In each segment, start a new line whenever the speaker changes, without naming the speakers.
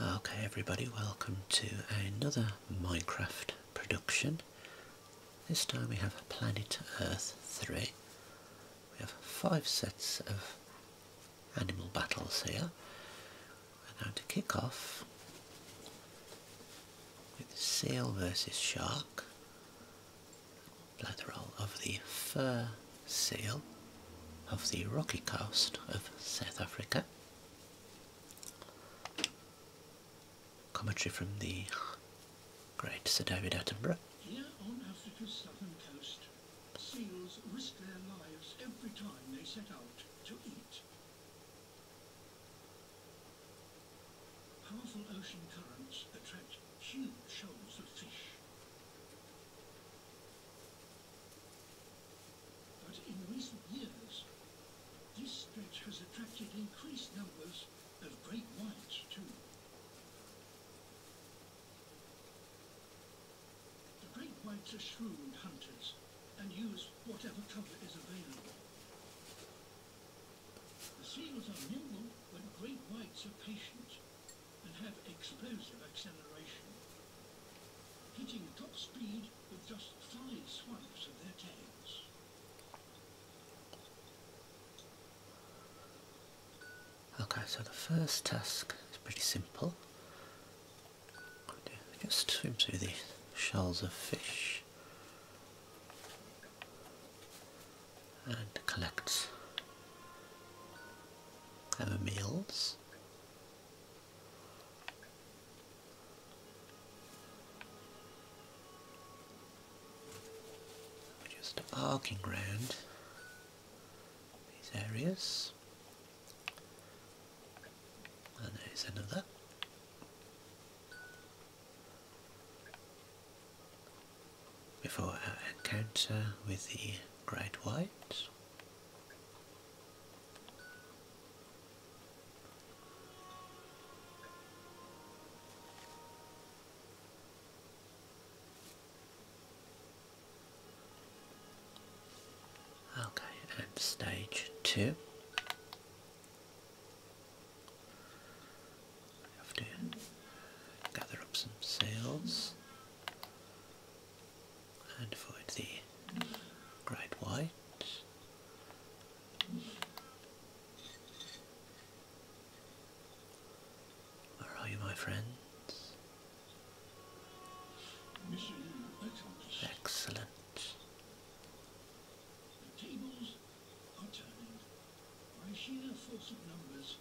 Okay everybody, welcome to another Minecraft production. This time we have Planet Earth 3. We have five sets of animal battles here. We're going to kick off with seal versus shark. Play the of the fur seal of the rocky coast of South Africa. Commentary from the great Sir David Attenborough.
Here on Africa's southern coast, seals risk their lives every time they set out to eat. Powerful ocean currents attract huge shoals of fish. But in recent years, this stretch has attracted increased numbers of great whites too. The great whites are shrewd hunters and use whatever cover is available. The seals are nimble, but great whites are patient and have explosive acceleration. Hitting top speed with just five swipes of their tails.
Okay, so the first task is pretty simple. Just swim through the shells of fish and collect our meals. Just arcing round these areas. And there's another. Before our encounter with the Great White. Okay, and stage two. We have to gather up some sails and for the great white. Where are you, my friends?
Excellent. By sheer force of numbers,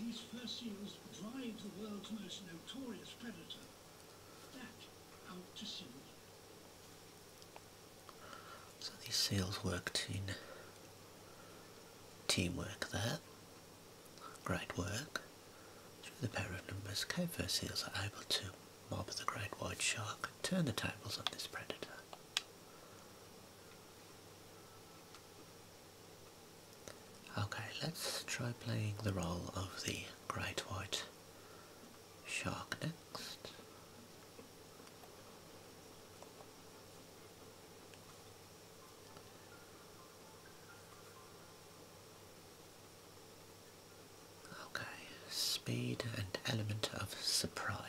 these fur seals drive the world's most notorious predator
so these seals worked in teamwork there. Great work. Through the pair of numbers, Cape fur seals are able to mob the great white shark and turn the tables on this predator. Okay, let's try playing the role of the great white shark next. Okay, speed and element of surprise.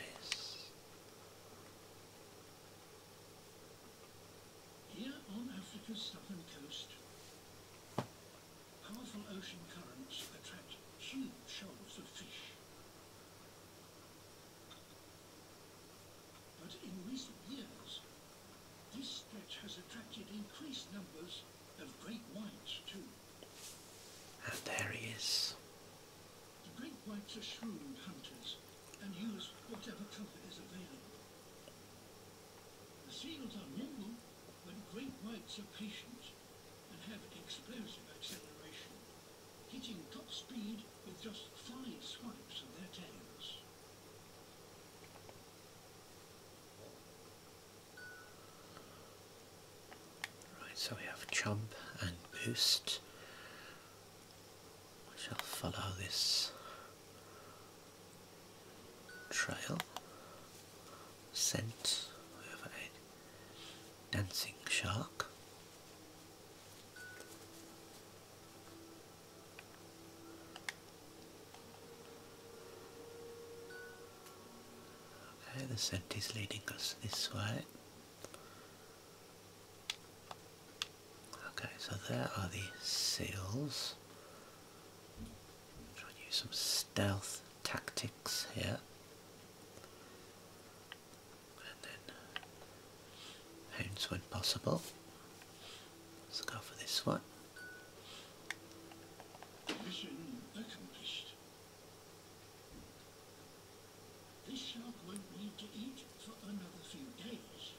Here on Africa's southern coast, powerful ocean currents attract huge shoals of fish. But in recent years, this stretch has attracted increased numbers of great whites too.
And there he is.
The great whites are shrewd hunters and use whatever cover is available. The seals are nimble, but great whites are patient and have explosive acceleration, hitting top speed with just five swipes of their tails.
Right, so we have jump and boost. I shall follow this Trail, Scent, whatever it, Dancing Shark. Okay, the scent is leading us this way. Okay, so there are the seals. Try and use some stealth tactics here. And then hounds when possible. Let's go for this one.
Mission accomplished. This shark won't need to eat for another few days.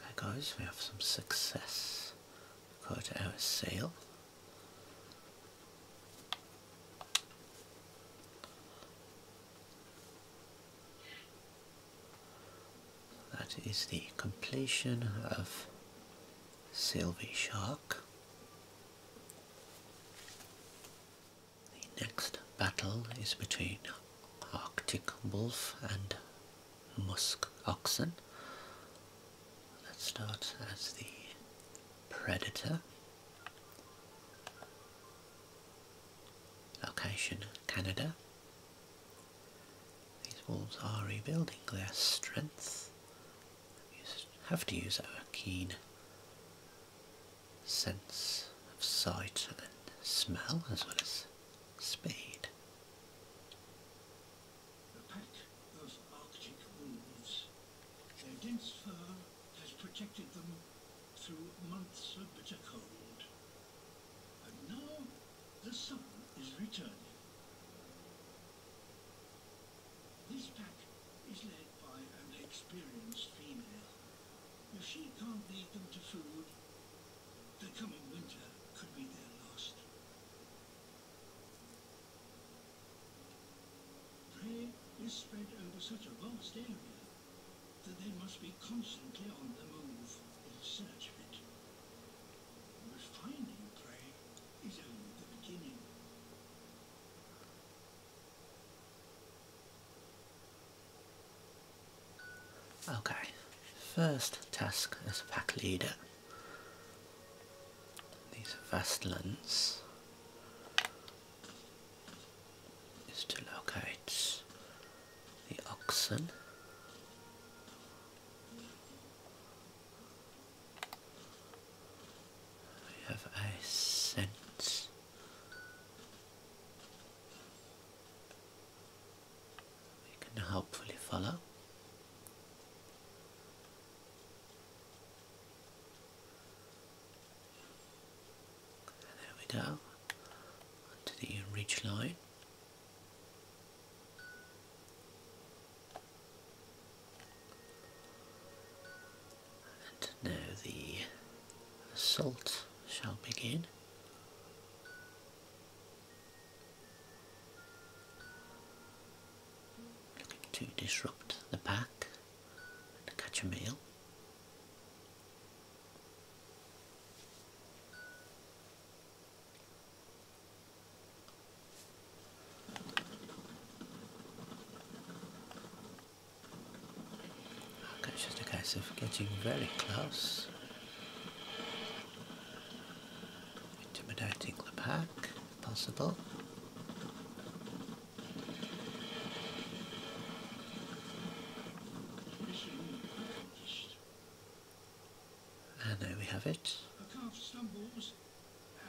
Okay guys, we have some success Go to our sale. That is the completion of Sylvie Shark. The next battle is between Arctic Wolf and Musk Oxen. That starts as the Predator. Location Canada. These wolves are rebuilding their strength have to use our keen sense of sight and smell as well as
speed. their dense fur has protected them through months of bitter cold. And now the sun is returning. This pack is led by an experienced female. If she can't lead them to food, the coming winter could be their last. Prey is spread over such a vast area that they must be constantly on the move in search of it. But finding prey is only the beginning.
Okay, first task as pack leader. These Vastlans is to locate the oxen we have a sense we can hopefully follow. there we go, onto the ridge line. And now the assault shall begin. Looking to disrupt the pack and catch a meal. It's just a case of getting very close. Intimidating the pack, if possible. And there we have it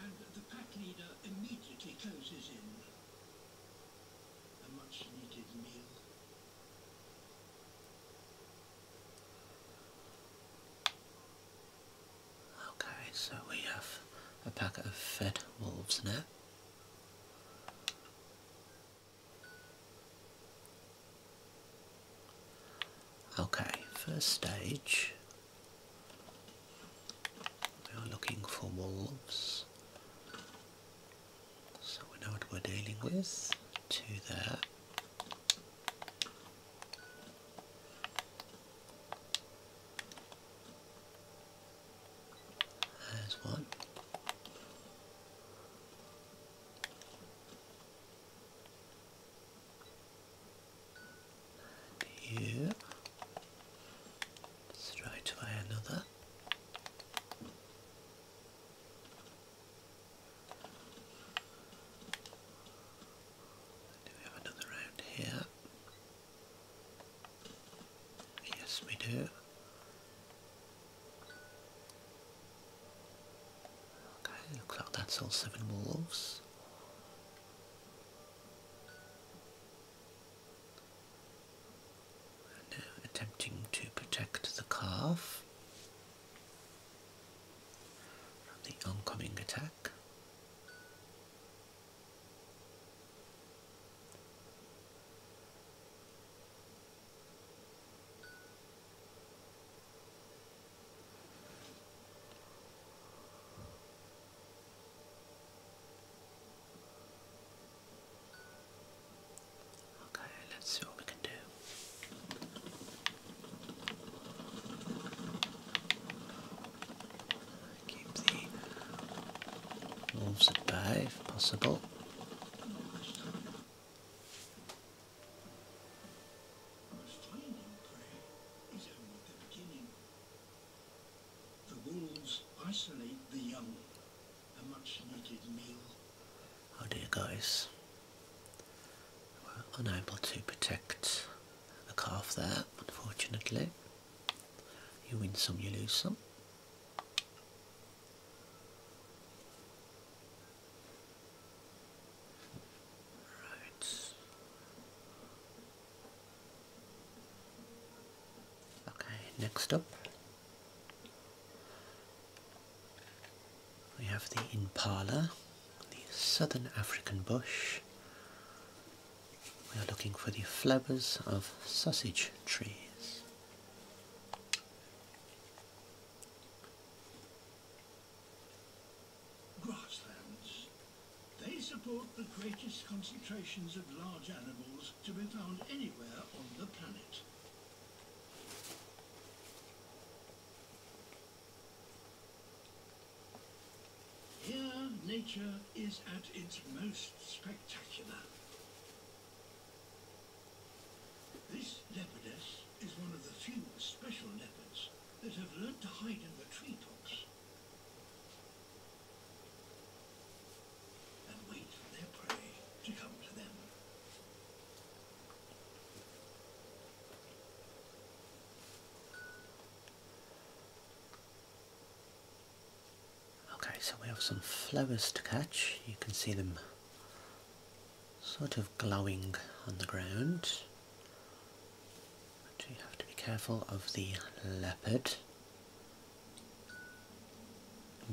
and the pack leader immediately closes in. A much needed meal.
Okay, so we have a pack of fed wolves now. Okay, first stage we are looking for wolves. So we know what we're dealing with. Two there. There's one. And here, straight away another. Do we have another round here? Yes, we do. Okay, looks like that's all seven wolves. Now uh, attempting to protect the calf from the oncoming attack. Okay, let's see what we can do. Keep the wolves at possible.
The wolves isolate the young, a Oh dear
guys, we're unable to protect the calf there, unfortunately. You win some, you lose some. Right. Okay, next up we have the impala, the southern African bush. We are looking for the flowers of sausage trees.
Grasslands. They support the greatest concentrations of large animals to be found anywhere on the planet. Here, nature is at its most spectacular. This leopardess is one of the few special leopards that have learned to hide in the tree tops.
Okay, so we have some flowers to catch. You can see them sort of glowing on the ground. We have to be careful of the leopard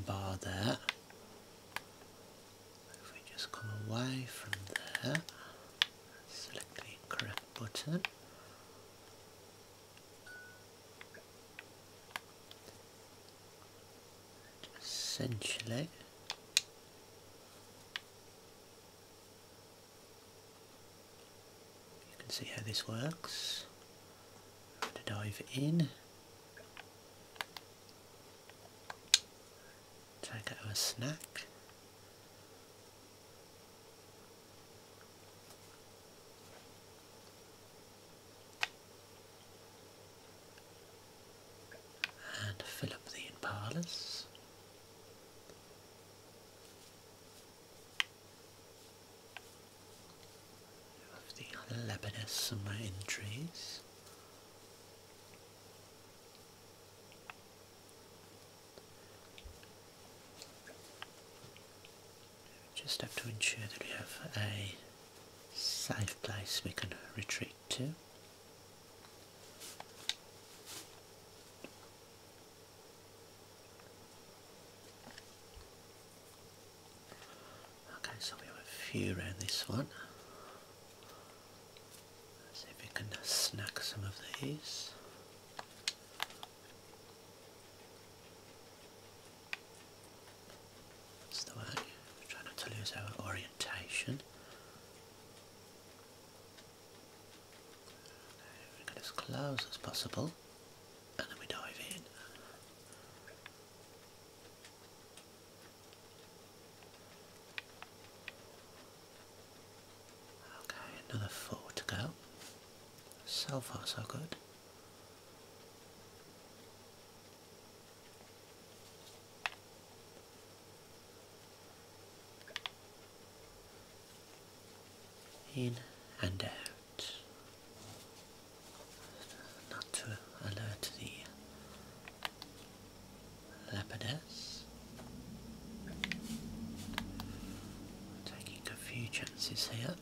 bar there? If we just come away from there, select the correct button. Essentially, you can see how this works. Have To dive in. Take out a snack. and fill up the impalas the other Lebanese summer entries. We just have to ensure that we have a safe place we can retreat to. Okay, so we have a few around this one. see if we can snack some of these. That's the way. Try not to lose our orientation we get as close as possible and then we dive in. Okay, another four to go. So far so good in and out. Not to alert the leopardess. Taking a few chances here.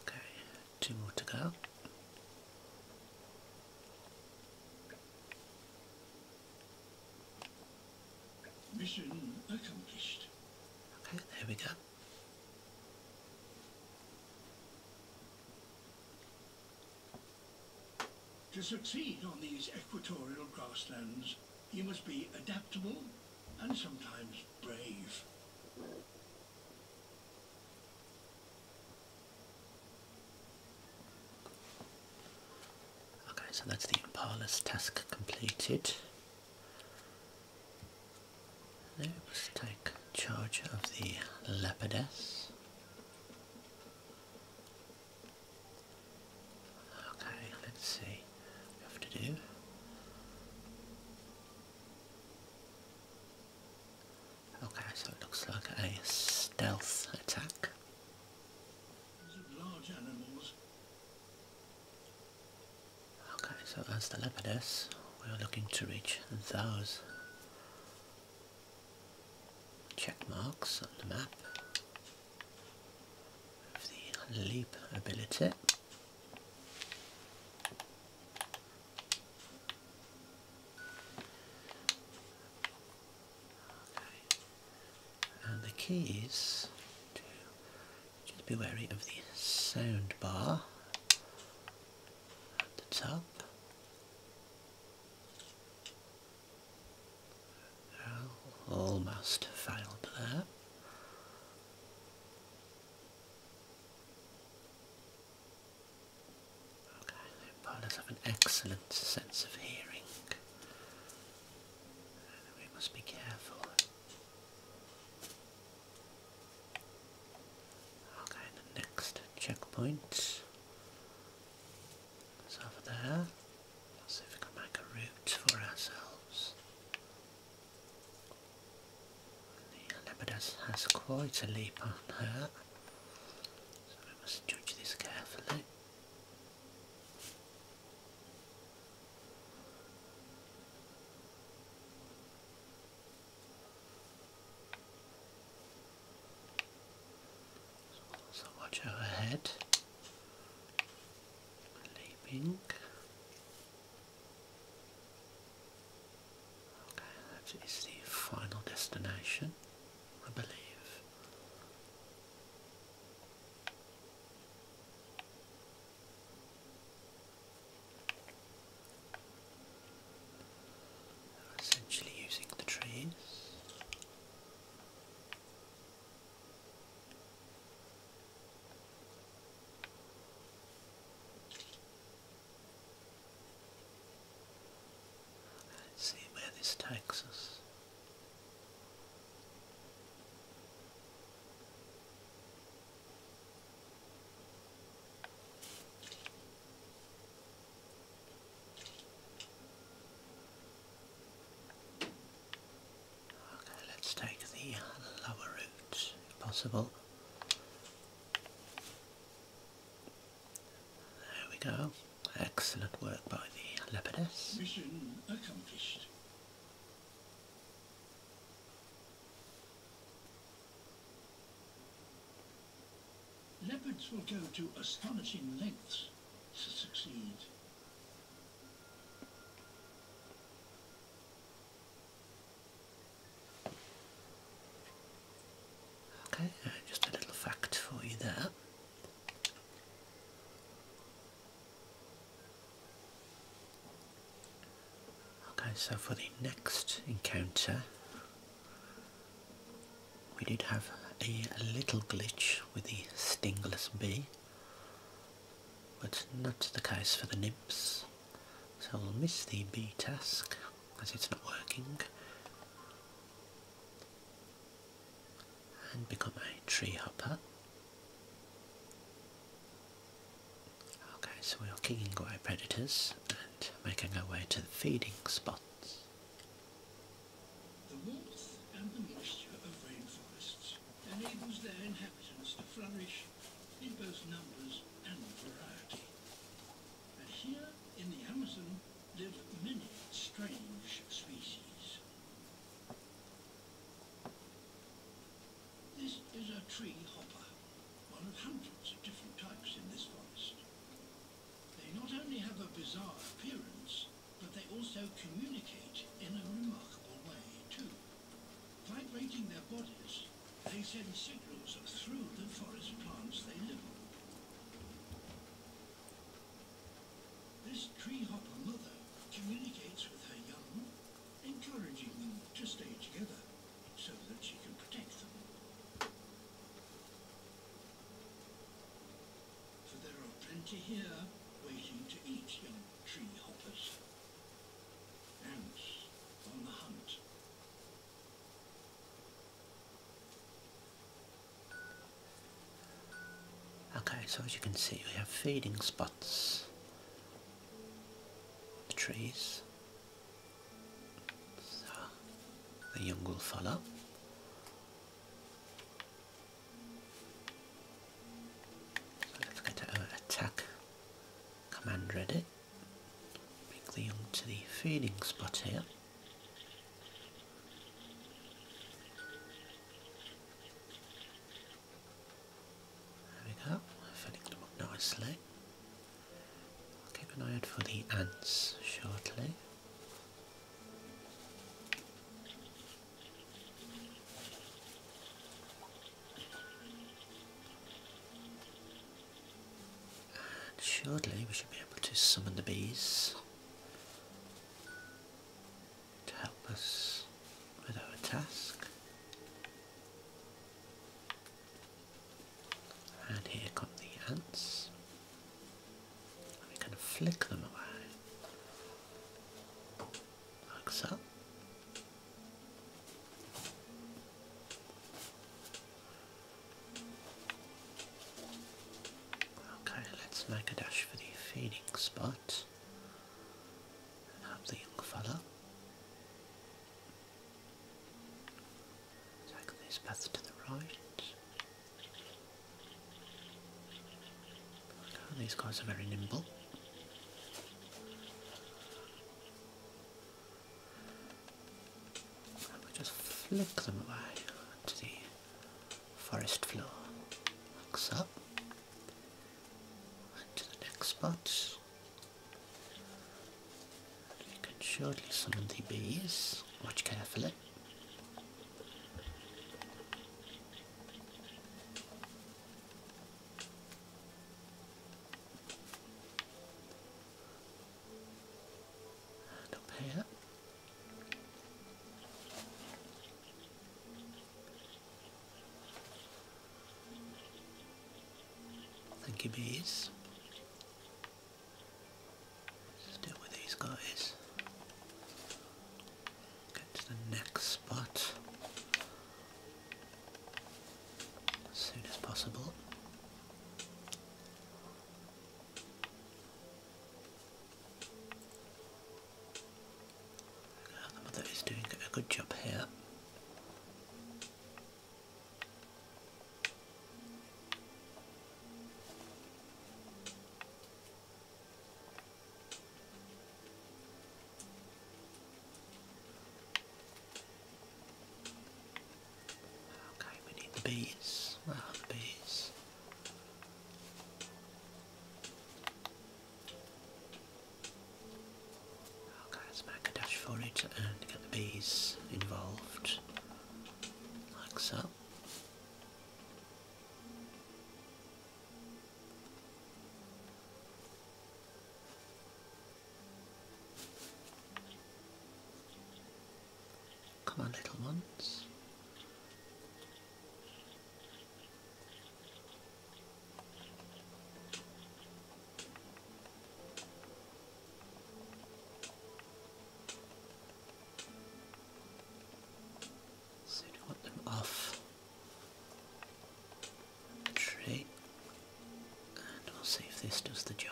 Okay, two more to go.
Mission accomplished. Okay, there we go. To succeed on these equatorial grasslands, you must be adaptable and sometimes brave.
Okay, so that's the Impala's task completed. let's take charge of the leopardess. Okay, let's see we have to do. Okay, so it looks like a stealth attack. Large animals. Okay, so as the leopardess, we are looking to reach those check marks on the map of the leap ability. And the keys. to be wary of the sound bar at the top. Almost failed there. Okay, pilots have an excellent sense of hearing. We must be careful. Okay, the next checkpoint is over there. Let's see if we can make a route for ourselves. The Lepidus has quite a leap on her, so we must judge this carefully. So watch her head, leaping. That is the final destination, I believe. Essentially using the trees. Let's see where this takes us. Okay, let's take the lower route if possible. There we go. Excellent work by the leopardess.
Mission accomplished. Leopards will go to astonishing lengths to succeed.
Okay, uh, just a little fact for you there. Okay, so for the next encounter, we did have a little glitch with the stingless bee, but not the case for the nymphs. So I'll miss the B task as it's not working and become a tree hopper. Okay, so we are kicking away predators and making our way to the feeding spots.
The warmth and the moisture of rainforests enables their inhabitants to flourish in both numbers and variety. But here in the Amazon live many strange species. This is a tree hopper, one of hundreds of different types in this forest. They not only have a bizarre appearance, but they also communicate in a remarkable way too. Vibrating their bodies they send signals through the forest plants they live on. This tree hopper mother communicates with her young, encouraging them to stay together so that she can protect them. For there are plenty here waiting to eat young tree hoppers. Ants on the hunt.
Okay, so as you can see we have feeding spots, the trees, so the young will follow. let's get our attack command ready. Bring Quickly onto the feeding spot here. There we go, filling them up nicely. keep an eye out for the ants shortly. And shortly we should be able to summon the bees to help us with our task. And here come the ants. And we can flick them away. Like so. Okay, let's make a dash for the feeding spot and have the young fella take this path to the right. these guys are very nimble. And we just flick them away to the forest floor. Like up, And to the next spot. You can some of the bees. Watch carefully and Thank you, bees. deal with these guys. Get to the next spot as soon as possible. the mother is doing a good job here. Okay, we need the bees. Ah, the bees? Okay, let's make a dash for it and get the bees involved. Like so. Come on, little ones. So we want them off tree, and we'll see if this does the job.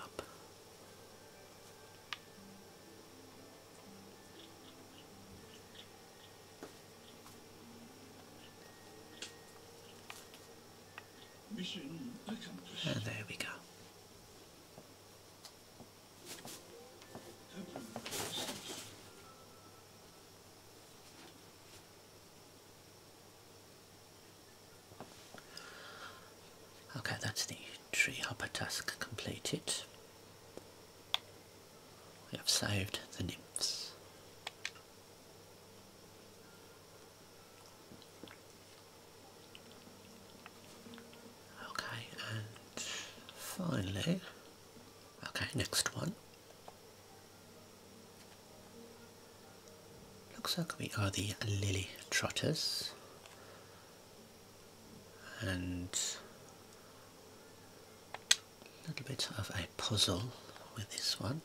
Mission accomplished. And there we go.
Okay, that's the tree hopper task completed. We have saved the nymphs. Okay, and finally, okay, next one. Looks like we are the lily trotters and a little bit of a puzzle with this one.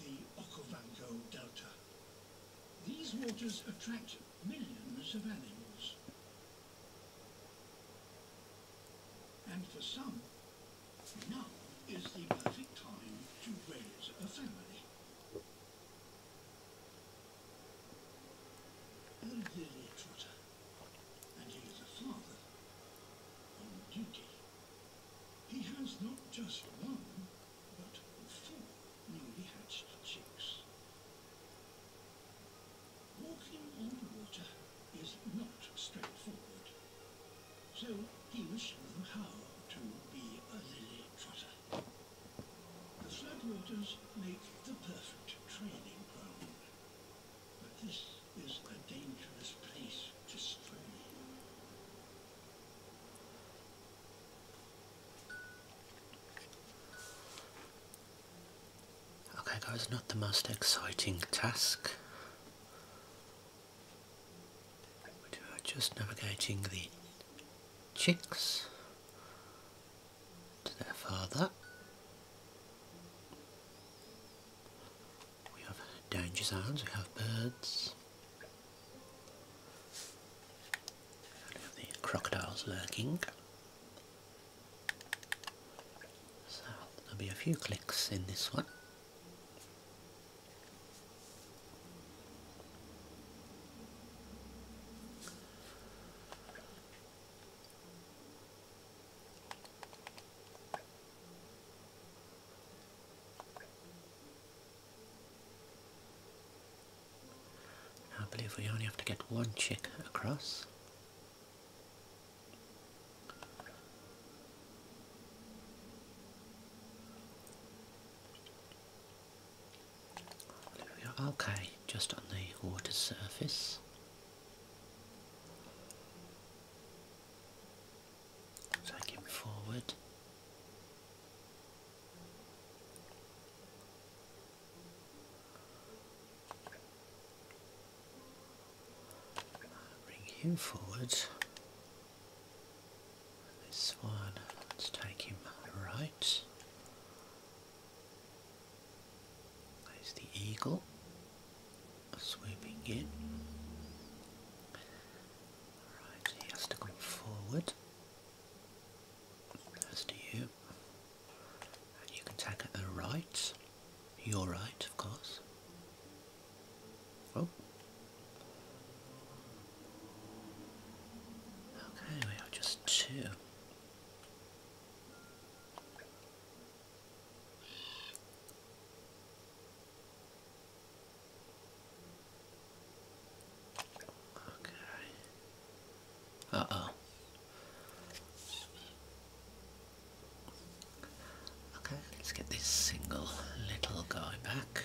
The Okavango Delta. These waters attract millions of animals. And for some, now is the perfect time to raise a family. A trotter, and he is a father on duty. He has not just one, but four newly hatched chicks. Walking on water is not straightforward. So he will show them how to be a lily trotter. The floodwaters make the perfect training ground. But this is a dangerous place to stray.
Okay guys, not the most exciting task we are just navigating the chicks to their father. We have danger zones, we have birds. We have the crocodiles lurking. So there'll be a few clicks in this one. I believe we only have to get one chick across. Okay, just on the water surface. Take him forward. Bring him forward. This one, let's take him right. There's the eagle swooping in. Alright, he has to come forward. As do you. you can take it the right. Your right, of course. Oh. Okay, we have just two. Okay. Uh-oh. Okay, let's get this single little guy back.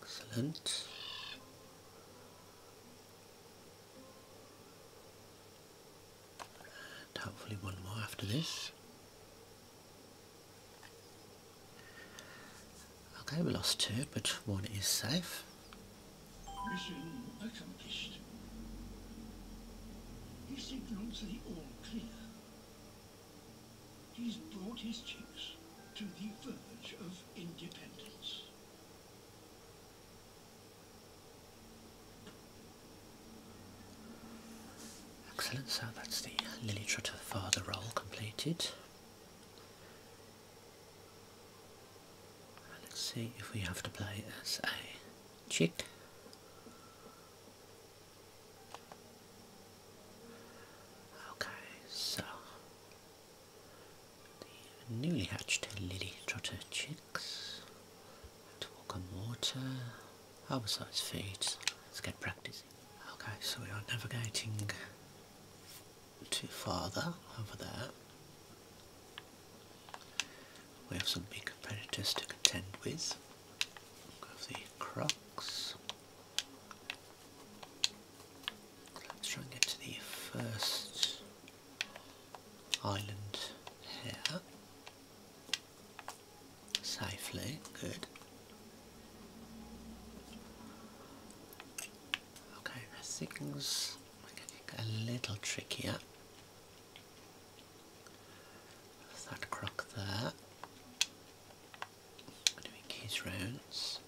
Excellent. And hopefully one more after this. Okay, we lost two, but one is safe.
Mission accomplished. He's signals the all clear. He's brought his chicks to the verge of independence.
Excellent, so that's the Lily Trotter father role completed. Let's see if we have to play as a chick. Okay, so the newly hatched lily trotter chicks to walk on water, oversized feet. Let's get practicing. Okay, so we are navigating to father over there. We have some big predators to contend with. We have the crux. Let's try and get to the first island here. Safely, good. Okay, things a little trickier. that croc there. Doing his rounds.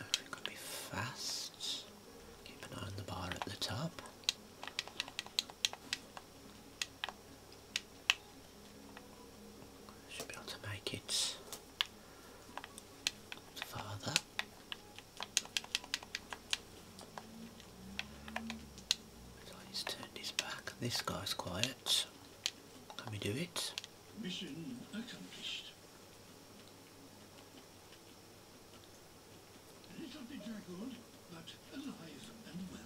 It could be fast. Keep an eye on the bar at the top. Should be able to make it father he's turned his back this guy's quiet can we do it
mission accomplished little bedraggled but alive and well